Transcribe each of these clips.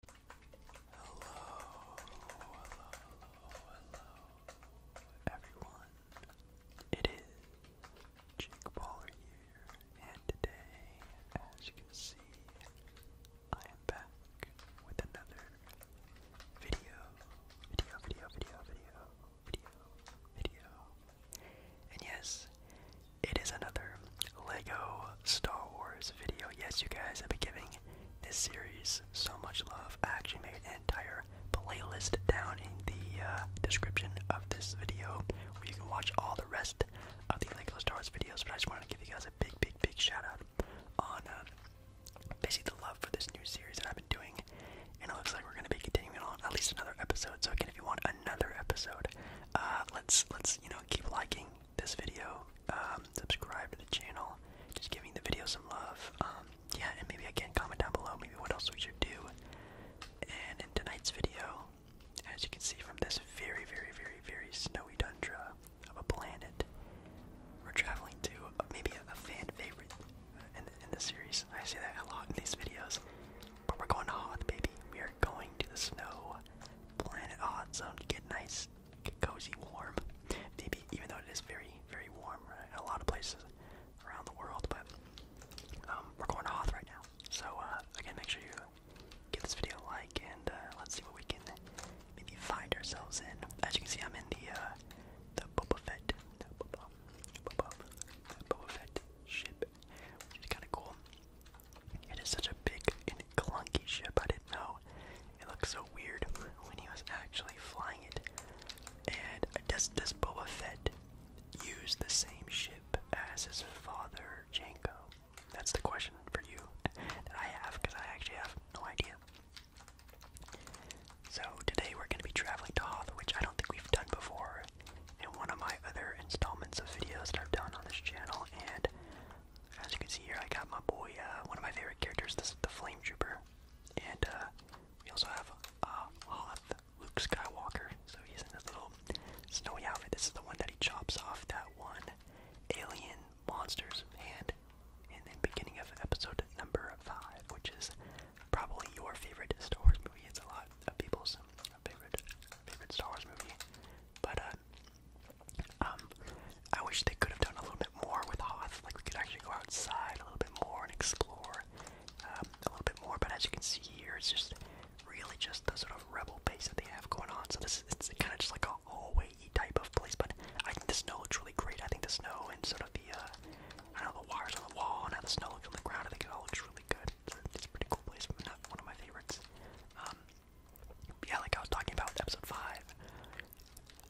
Hello, hello, hello, hello, everyone. It is Jake Baller here, and today, as you can see, I am back with another video, video, video, video, video, video, video. And yes, it is another Lego Star Wars video. Yes, you guys, I've been giving this series so much love. I actually made an entire playlist down in the uh, description of this video where you can watch all the rest of the Lego Star Wars videos. But I just wanted to give you guys a big, big, big shout out on uh, basically the love for this new series that I've been doing. And it looks like we're going to be continuing on at least another episode. So again, if you want another episode, uh, let's let's you know keep liking, this video, um, subscribe to the channel, just giving the video some love. Um, yeah, and maybe again comment down below maybe what else we should do. And in tonight's video, as you can see from this very, very, very, very snowy tundra of a planet, we're traveling to maybe a, fan favorite in the, series. I say that a lot in these videos, but we're going to Hoth, baby. We are going to the snow planet hot zone to get nice get cozy, warm. Maybe even though it is very, very warm in a lot of places around the world, but um, we're going to Hoth right now. So uh, again, make sure you give this video a like, and uh, let's see what we can maybe find ourselves in. As you can see, I'm in the uh, the Boba the Boba Fett ship, which is kind of cool. It is such a big and clunky ship, I didn't know. It looked so weird when he was actually flying it. And does, does Boba Fett use the same ship as his father, Janko? That's the question for you that I have, because I actually have no idea. So today we're going to be traveling to Hoth, which I don't think we've done before in one of my other installments of videos that I've done on this channel, and as you can see here, I got my boy, uh, one of my favorite characters, this, the Flame Trooper. And uh, we also have uh, Hoth, Luke Skywalker. So he's in this little snowy outfit. This is the one that he chops off that one alien monster's hand in the beginning of episode number 5, which is probably your favorite Star Wars movie. It's a lot of people's uh, favorite favorite Star Wars movie. But um, I wish they could have done a little bit more with Hoth. Like we could actually go outside a little bit more and explore um, a little bit more. But as you can see here, it's just really just the sort of rebel base that they have going on. So this is kind of just like a all hallway type of place. But I think the snow looks really great. I think the snow and sort of the uh, I know the wires on the wall and how the snow looks on the ground. I think it all looks really good. It's a, a pretty cool place, but not one of my favorites. Um, yeah, like I was talking about with episode 5,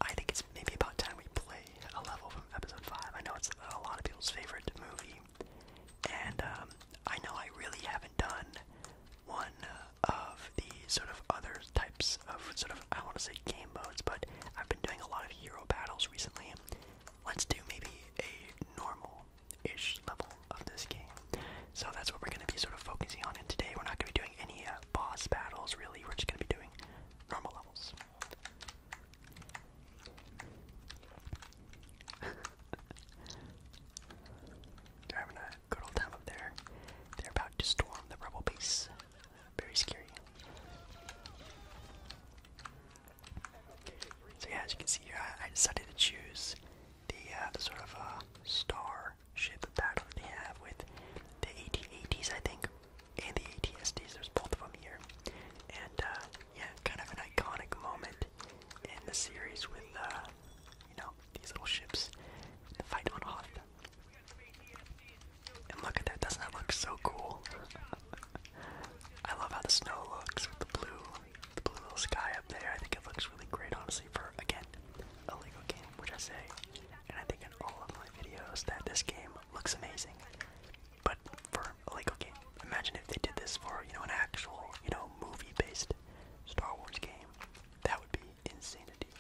I think it's maybe about time we play a level from episode 5. I know it's a lot of people's favorite movie, and um, I know I really haven't done one of the sort of other types of sort of, I want to say game modes, but I've been doing a lot of hero battles recently. Let's do maybe a normal ish level of this game. So that's what we're going to be sort of focusing on. And today we're not going to be doing any uh, boss battles, really. We're just going to be doing normal levels. They're having a good old time up there. They're about to storm the rebel base. Very scary. So yeah, as you can see here, I, decided to choose the, uh, the sort of uh, star more ship battle they have with the AT-ATs, I think, and the AT-STs. There's both of them here, and uh, yeah, kind of an iconic moment in the series with uh, you know these little ships, the fight on Hoth. And look at that! Doesn't that look so cool? I love how the snow looks with the blue the blue little sky up there. I think it looks really great, honestly, for again a Lego game, which I say, and I think in all of my videos that this game looks amazing. But for a Lego game, imagine if they did this for you know an actual you know movie-based Star Wars game. That would be insanity.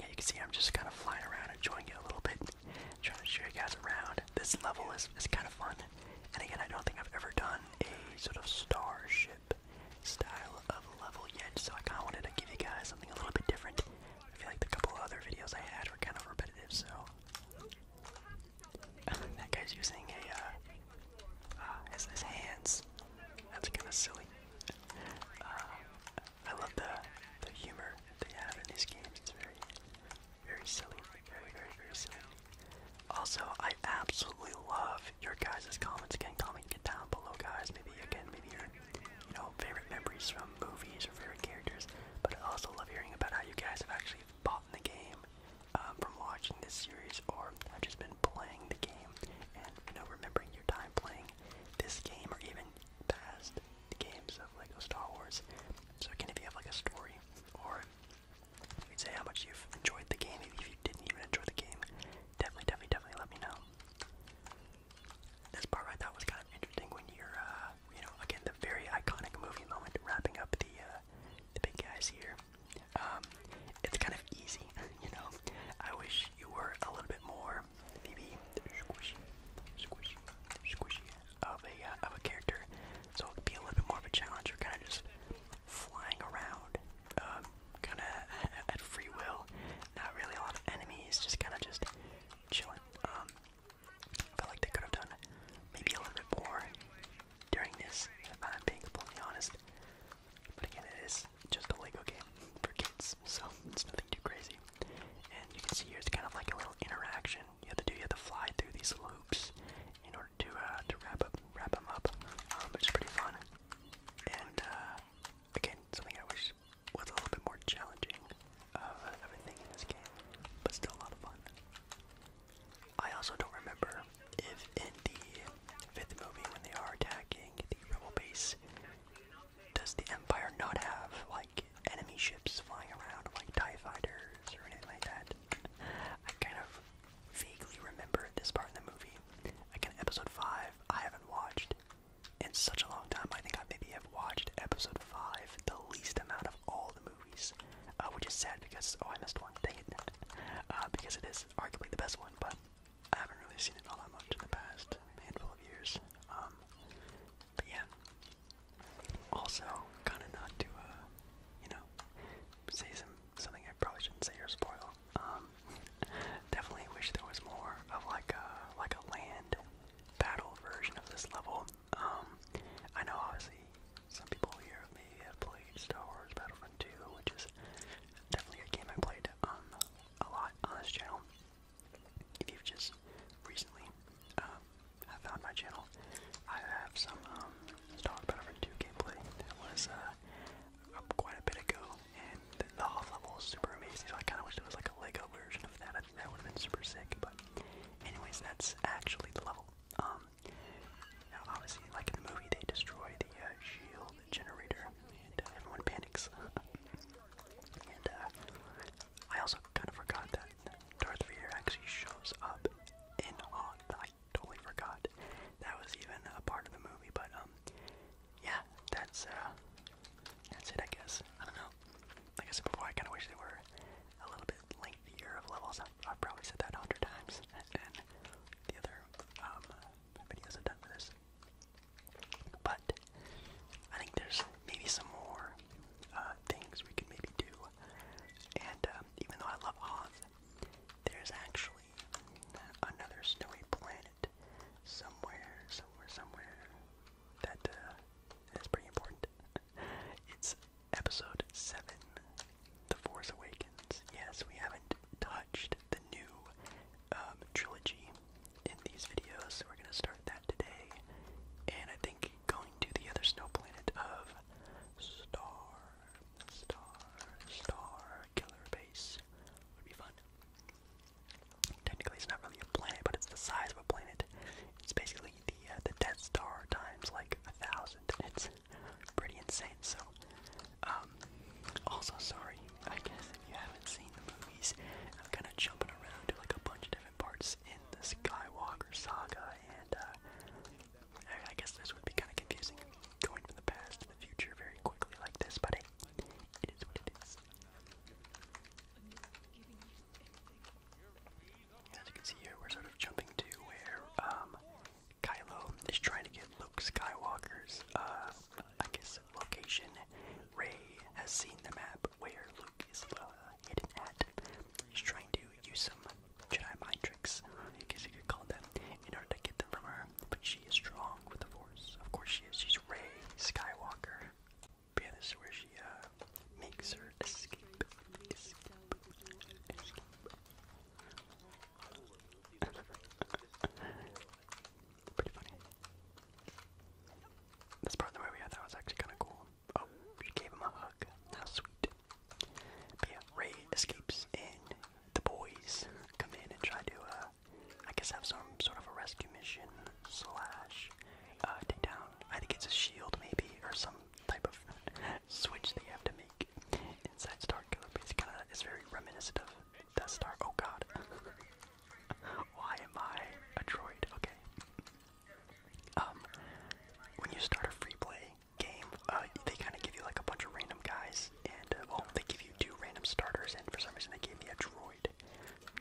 Yeah, you can see I'm just kind of flying around, enjoying it a little bit, trying to show you guys around. This level is, is kind of fun, and again, I don't think I've ever done a sort of starship style of level yet, so I kind of wanted to give you guys something a little bit different. I feel like the couple other videos I had were kind of repetitive, so. that guy's using a, uh, as ah, his hands. That's kind of silly. Uh, I love the the humor they have in these games. It's very, very silly. Also, I absolutely love your guys' comments. Again, comment it down below, guys. Maybe again, maybe your, you know, favorite memories from movies or favorite characters. But I also love hearing about how you guys have actually bought the game um, from watching this series, or have just been playing the game, and you know, remembering your time playing this game, or even past the games of Lego Star Wars. So again, if you have like a story or you can say how much you've enjoyed the game. Maybe if you didn't even enjoy the game, definitely, definitely, definitely let me know. This part right, thought was kind of interesting when you're, uh, you know, again the very iconic movie moment, wrapping up the uh, the big guys here. Um, it's kind of easy, you know. I wish you were a little bit more, maybe squishy, squishy, squishy of a uh, of a character. So it'd be a little bit more of a challenge, or kind of just flying around, um, kind of at free will. Not really a lot of enemies, just kind of just chilling. Um, like they could have done maybe a little bit more during this, if I'm being completely honest. But again, it is just a Lego game for kids, so it's nothing too crazy. And you can see here it's kind of like a little interaction. You have to do, you have to fly through these loops in order to uh, to wrap up wrap them up, which um, is pretty fun. And uh, again, something I wish was a little bit more challenging of everything in this game, but still a lot of fun. I also don't remember if in the fifth movie when they are attacking the rebel base, does the Empire not have like enemy ships flying around, like Tie Fighters or anything like that? I kind of vaguely remember this part in the movie. Like in episode 5, I haven't watched in such a long time. I think I maybe have watched episode 5 the least amount of all the movies, uh, which is sad because, oh, I missed one, dang uh, because it is arguably the best one, but I haven't really seen it all that much in the past handful of years. Um, but yeah. Also, kind of not to, uh, you know, say some something I probably shouldn't say or spoil. Um, definitely wish there was more of like a like a land battle version of this level. Um, I know obviously some people here maybe have played Star Wars Battlefront 2, which is definitely a game I played um, a lot on this channel. If you've just recently uh, found my channel, I have some um, was talking about it for gameplay. That was uh, quite a bit ago, and the, off level was super amazing. So I kind of wish there was like a Lego version of that. I think that would have been super sick. But, anyways, that's actually the level. Um, now obviously, like in the movie, they destroy the uh, shield generator, and uh, everyone panics. and I also kind of forgot that Darth Vader actually shows up in on the totally forgot that was even a part of the movie. But um, yeah, that's uh, that's it, I guess. I don't know. Like I said before, I kind of wish they were a little bit lengthier of levels. I've, I've probably said that a hundred times, and the other um videos I've done for this. But I think there's maybe some more uh, things we could maybe do. And um, even though I love Oz, there's actually another snowy planet somewhere, somewhere, somewhere that uh, is pretty important. it's episode 7 The Force Awakens. Yes, we haven't touched the new um, trilogy in these videos, so we're going to start that today. And I think going to the other snow planet of Star Star, star, killer base would be fun. Technically, it's not really a planet, but it's the size of a planet. It's basically the uh, the Death Star times like a thousand. It's pretty insane. So, um, also sorry, I guess if you haven't seen the movies, I'm kind of jumping around to like a bunch of different parts in the Skywalker saga and uh, I guess this would be kind of confusing, going from the past to the future very quickly like this, but it is what it is. As you can see here, we're sort of jumping to where um, Kylo is trying to get Luke Skywalker's, uh, I guess, location. Ray has seen the map where Luke is uh, hidden at. He's trying to use some Jedi mind tricks, I guess you could call them, in order to get them from her. But she is strong with the Force. Of course she is. She's Rey Skywalker. But yeah, this is where she uh, makes her escape. Escape. escape. Pretty funny. This part of the movie I thought was actually kind of cool. Oh, she gave him a hug. How sweet. Ray escapes and the boys come in and try to, uh, I guess, have some sort of a rescue mission slash uh, take down. I think it's a shield maybe or some type of switch that you have to make inside Starkiller. But it's kind of it's very reminiscent of Death Star. Oh God, why am I a droid? Okay. Um, when you start a free play, game, uh, they kind of give you like a bunch of random guys, and uh, well, they give you two random starters, and for some reason they gave me a droid.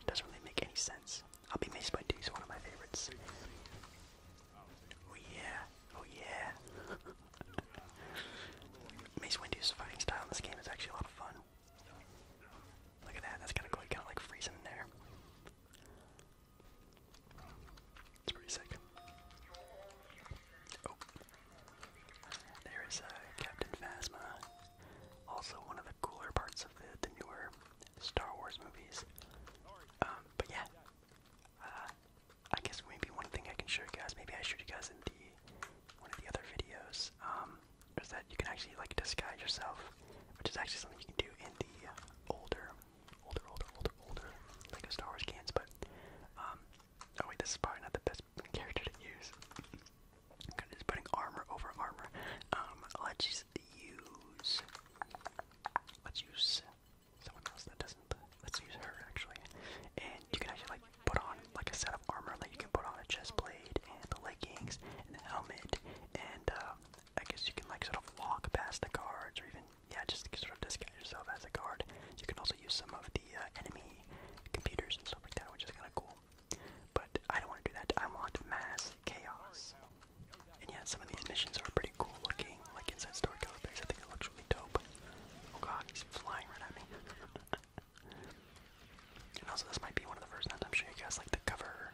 Doesn't really make any sense. I'll be Mace by D one of my favorites. Oh yeah, oh yeah. Mace Windu's fighting style in this game is actually a lot of fun. Look at that, that's kind of cool. You kind of like freeze there. It's pretty sick. Oh. There is uh, Captain Phasma. Also one of the cooler parts of the, newer Star Wars movies. Um, but yeah. Uh, I guess maybe one thing I can show you guys, maybe I showed you guys in the one of the other videos, um, is that you can actually like disguise yourself, which is actually something you can do in the uh, older older, older, older, older, like a Star Wars cans, but, um, oh wait, this is probably not the best character to use. Cause it's putting armor over armor. Um, let's use, let's use someone else that doesn't, let's use her actually. And you can actually like put on like a set of armor, like you can put on a chest plate and the leggings and the helmet and uh, I guess you can like sort of walk past the guards or even yeah, just sort of disguise yourself as a guard. You can also use some of the uh, enemy computers and stuff like that, which is kind of cool. But I don't want to do that. I want mass chaos. And yeah, some of these missions are pretty cool looking. Like inside Story Base, I think it looks really dope. Oh god, he's flying right at me. and also, this might be one of the first times I'm you guys like the cover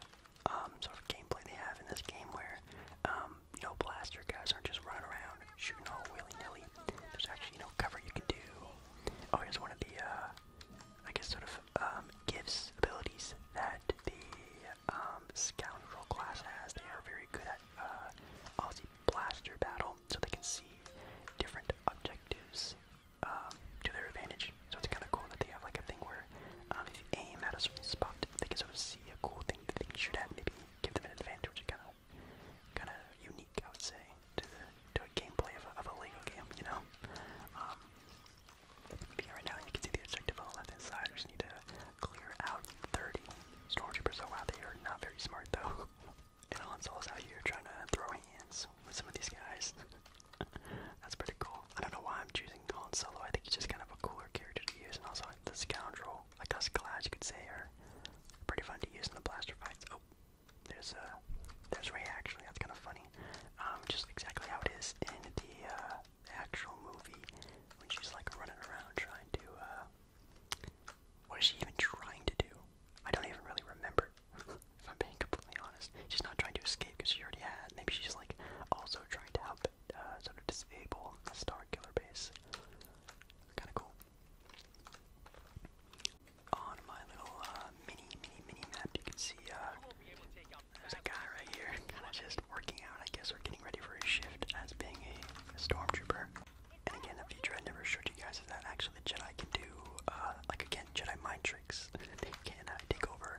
um, sort of gameplay they have in this game, where um, you blaster guys aren't just running around shooting all willy-nilly. There's actually, no cover you can do. Oh, here's one of the, uh, I guess sort of, um, gifts, abilities that the, um, Scoundrel class has. They are very good at, uh, obviously blaster battle, so they can see different objectives, um, to their advantage. So it's kind of cool that they have, like, a thing where, um, if aim at a certain spot because I would see a cool thing they can shoot maybe give them an advantage. Kind of, kind of unique, I would say, to the gameplay of a, Lego game, you know. Um, right now you can see the objective on the left-hand side. We just need to clear out 30 stormtroopers. Oh wow, they are not very smart though. and Alonso's out here trying to throw hands with some of these guys. That's pretty cool. I don't know why I'm choosing Han Solo. I think he's just kind of a cooler character to use, and also the scoundrel I guess glass you could say are pretty fun to use in the blaster fights. Oh, there's a, uh, there's Ray actually. That's kind of funny. Um, just exactly how it is in the uh, actual movie when she's like running around trying to. Uh, what is she even trying to do? I don't even really remember. if I'm being completely honest, she's not trying to escape because she already had. Maybe she's like also trying to help uh, sort of disable the Star Killer base. Kind of cool. On my little uh, mini, mini, mini map, you can see uh, there's a guy right here, kind of just working out, I guess, or getting ready for his shift as being a, stormtrooper. And again, a feature I never showed you guys is that actually Jedi can do, like again, Jedi mind tricks. they can take over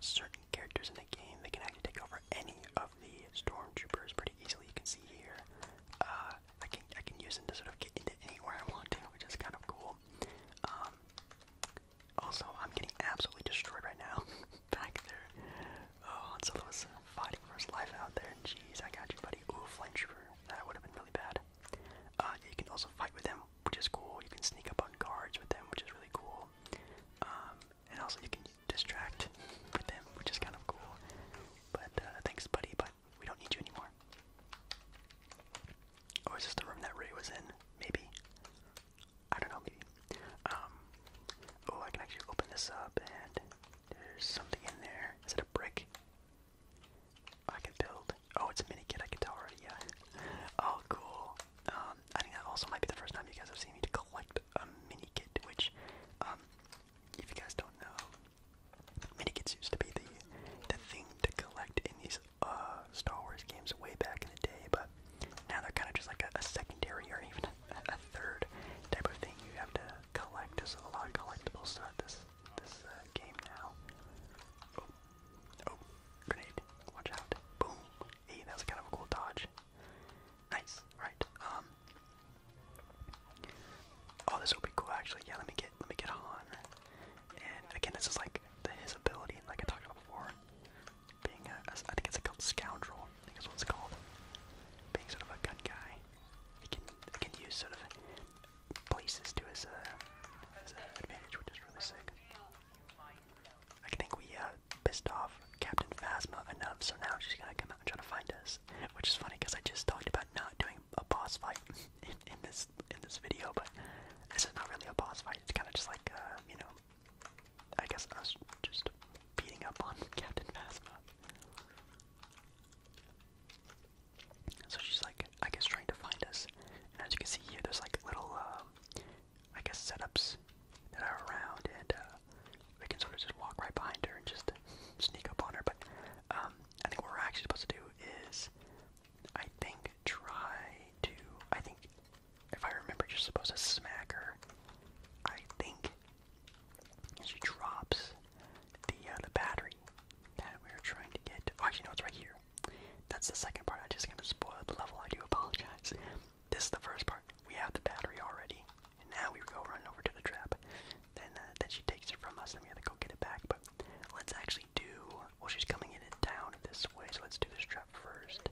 certain characters in the game. They can actually take over any of the stormtroopers pretty easily. You can see here. Uh, I can I can use them to sort of get into anywhere I want to, which is kind of cool. Um, also, I'm getting absolutely destroyed right now. Back there. Oh, and Solo was fighting for his life out there. Jeez, I got you, buddy. Ooh, flame trooper. That would have been really bad. Uh, you can also fight with them, which is cool. You can sneak up on guards with them, which is really cool. Um, and also you can distract with them, which is kind of cool. But uh, thanks, buddy, but we don't need you anymore. Or is this the room that Ray was in? Maybe. I don't know, maybe. Um, oh, I can actually open this up, and there's something in there. Is it a brick? I can build. Oh, it's a mini kit. I can tell already. Yeah. Oh, cool. Um, I think that also might be the first time you guys have seen me to collect a mini kit, which, um, if you guys don't know, mini kits used to be the the thing to collect in these uh, Star Wars games way back in the day, but now they're kind of just like a, secondary or even a, third type of thing you have to collect. There's a lot of collectibles throughout this this uh, game now. Oh, oh, grenade! Watch out! Boom! Hey, that was kind of a cool dodge. Nice. Right. Um, oh, this will be cool actually. Yeah, let me get let me get Han. And again, this is like the, his ability, like I talked about before, being a, a I think it's called scoundrel. I think is what it's called. Being sort of a gun guy, he can he can use sort of places to his uh his uh, advantage, which is really sick. I think we uh, pissed off Captain Phasma enough, so now she's gonna come out and try to find us. Which is funny because I just talked about not doing a boss fight in, this in this video, but this is not really a boss fight. It's kind of just like uh, you know, I guess I was just beating up on Captain Phasma. So she's like, I guess trying to find us. And as you can see here, there's like little. Um, I guess, setups that are around, and uh, we can sort of just walk right behind her and just sneak up on her. But um, I think what we're actually supposed to do is, I think, try to. I think, if I remember, you're supposed to smack her. I think she drops the uh, the battery that we are trying to get. Oh, actually, no, it's right here. That's the second part. I am just going to spoil the level. I do apologize. This is the first part. We have the battery already, and now we go run over to the trap. Then, uh, then she takes it from us, and we have to go get it back. But let's actually do. Well, she's coming in and down this way, so let's do this trap first.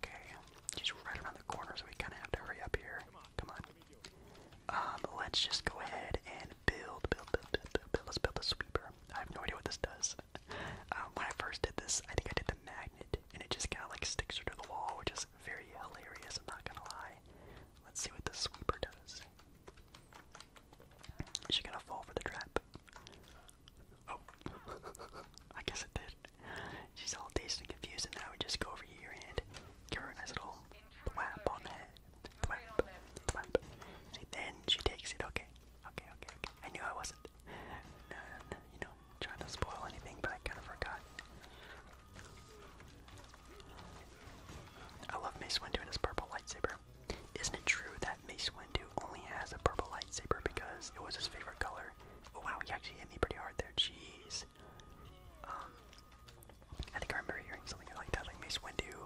Okay, she's right around the corner, so we kind of have to hurry up here. Come on. Um, let's just go ahead and build, build, build, build, build. Let's build a sweeper. I have no idea what this does um, when I first did this, I think I did the magnet, and it just kind of like sticks her to the wall, which is very hilarious. I'm not gonna lie. Let's see what the sweeper does. Is she gonna fall for the trap? Oh, I guess it did. She's all dazed and confused, and now we just go over here and give her a nice little thwap on the head. Thwap, thwap. See, then she takes it. Okay, okay, okay, okay. I knew I wasn't. No, no, no. You know trying to spoil anything, but I kind of forgot. I love Mace Windu and his purple lightsaber. Isn't it true that Mace Windu only has a purple lightsaber because it was his favorite color? Oh wow, he actually hit me pretty hard there. Jeez. Um, I think I remember hearing something like that, like Mace Windu.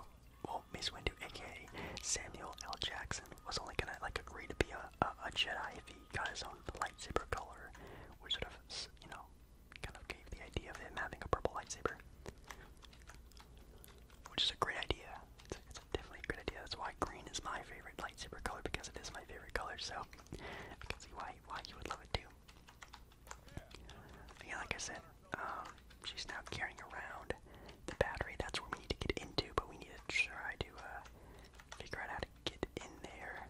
Well, Mace Windu, aka Samuel L. Jackson, was only gonna like agree to be a, a, Jedi if he got his own lightsaber color, which sort of you know kind of gave the idea of him having a purple lightsaber, which is a great idea. It's, definitely a great idea. That's why green is my favorite lightsaber color because it is my favorite color. So I can see why why you would love it too. Yeah, like I said, um, she's now carrying around the battery. That's where we need to get into, but we need to try to uh, figure out how to get in there.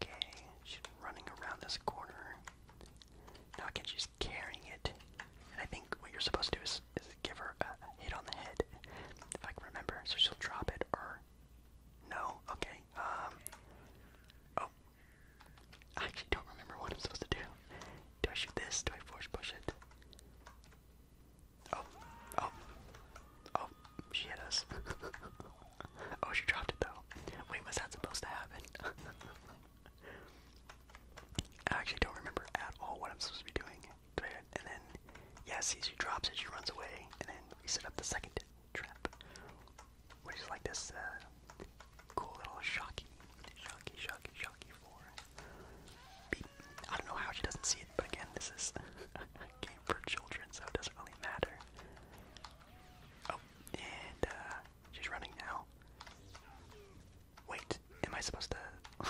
Okay, she's running around this corner. Now again, she's carrying it. And I think what you're supposed to do is, give her a, a hit on the head, if I can remember. So she'll drop it or. No? Okay. Um. Oh. I actually don't remember what I'm supposed to do. Do I shoot this? Do I force push it? Oh, oh, oh, she hit us. oh, she dropped it though. Wait, was that supposed to happen? I actually don't remember at all what I'm supposed to be doing. And then, yeah, see, she drops it, she runs away, and then we set up the second trap. Which is like this, uh, cool little shocky, shocky, shocky, shocky for I don't know how she doesn't see it, but again, this is a game for children, so it doesn't really matter. Oh, and uh, she's running now. Wait, am I supposed to?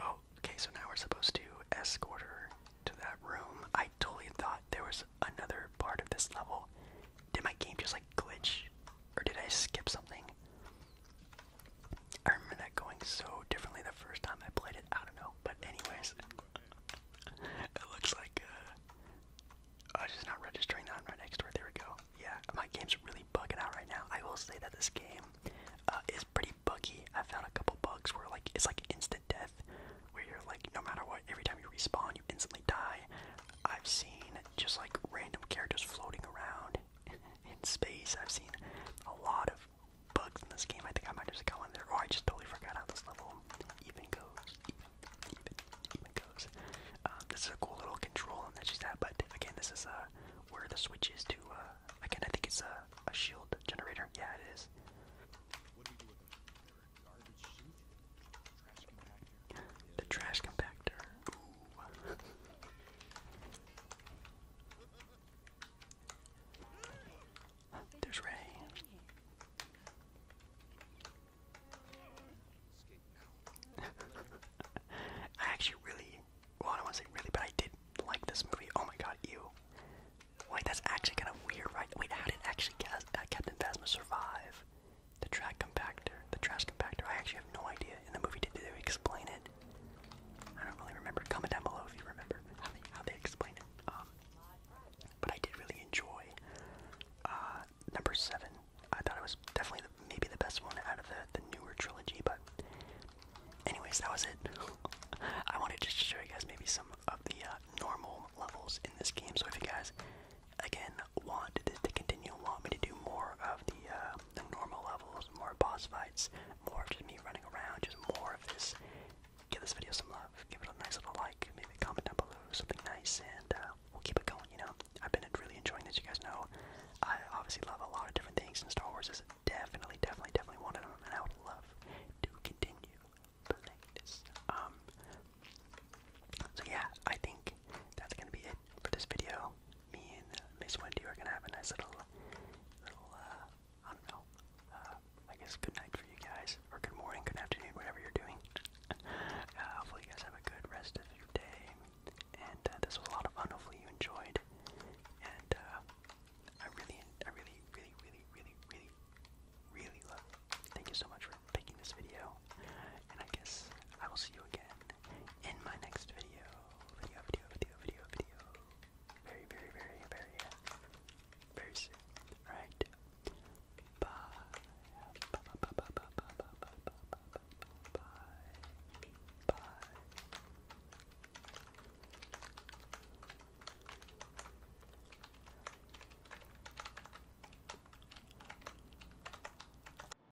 oh, okay, so now we're supposed to escort her to that room. I totally thought there was another part of this level. Did my game just like glitch? Or did I skip something? I remember that going so differently the first time I played it. I don't know, but anyways, it looks like uh, oh, I was just not registering that I'm right next to it. There we go. Yeah, my game's really bugging out right now. I will say that this game uh, is pretty buggy. I found a couple bugs where like it's like instant death, where you're like no matter what, every time you respawn, you instantly die. I've seen just like random characters floating around in space. I've seen a lot of bugs in this game. I think I might just go in there. Oh, I just totally forgot how this level even goes. Um, this is a cool little control and that's just that. but again, this is uh, where the switch is to. Uh, again, I think it's a, shield generator. Yeah, it is. What do you do with them? the trash compactor. There's Ray. I actually really, well, I don't want to say really, but I did like this movie. Oh my god, you. Wait, that's actually kind of weird, right? Wait, how did actually uh, Captain Phasma survive the track compactor? the trash compactor. I actually have no idea. In the movie, did they explain it? I don't really remember. Comment down below if you remember how they, how explain it. Um, but I did really enjoy uh, number seven. I thought it was definitely the, maybe the best one out of the, the newer trilogy. But, anyways, that was it. I wanted just to show you guys maybe some of the uh, normal levels in this game. So if you guys again want to, to continue, want me to do more of. Uh, of the, uh, the normal levels, more boss fights, more of just me running around, just more of this. Give this video some love. Give it a nice little like. Maybe comment down below something nice, and uh, we'll keep it going. You know, I've been really enjoying this. You guys know, I obviously love a lot of different things, and Star Wars is definitely, definitely, definitely one of them. And I would love to continue playing this. Um. So yeah, I think that's gonna be it for this video me and uh, Miss Wendy are gonna have a nice little, little, uh, I don't know, uh, I guess good night for you guys, or good morning, good afternoon, whatever you're doing. hopefully, you guys have a good rest of your day, and this was a lot of fun. Hopefully, you enjoyed, and I really, I really, really, really, really, really, really love. Thank you so much for making this video. And I guess I will see you again in my next video. Video, video, video, video, video. Very, very, very, very, very soon. Alright? Bye. Bye, bye, bye, bye, bye, bye, bye, bye, bye, bye, bye. Bye.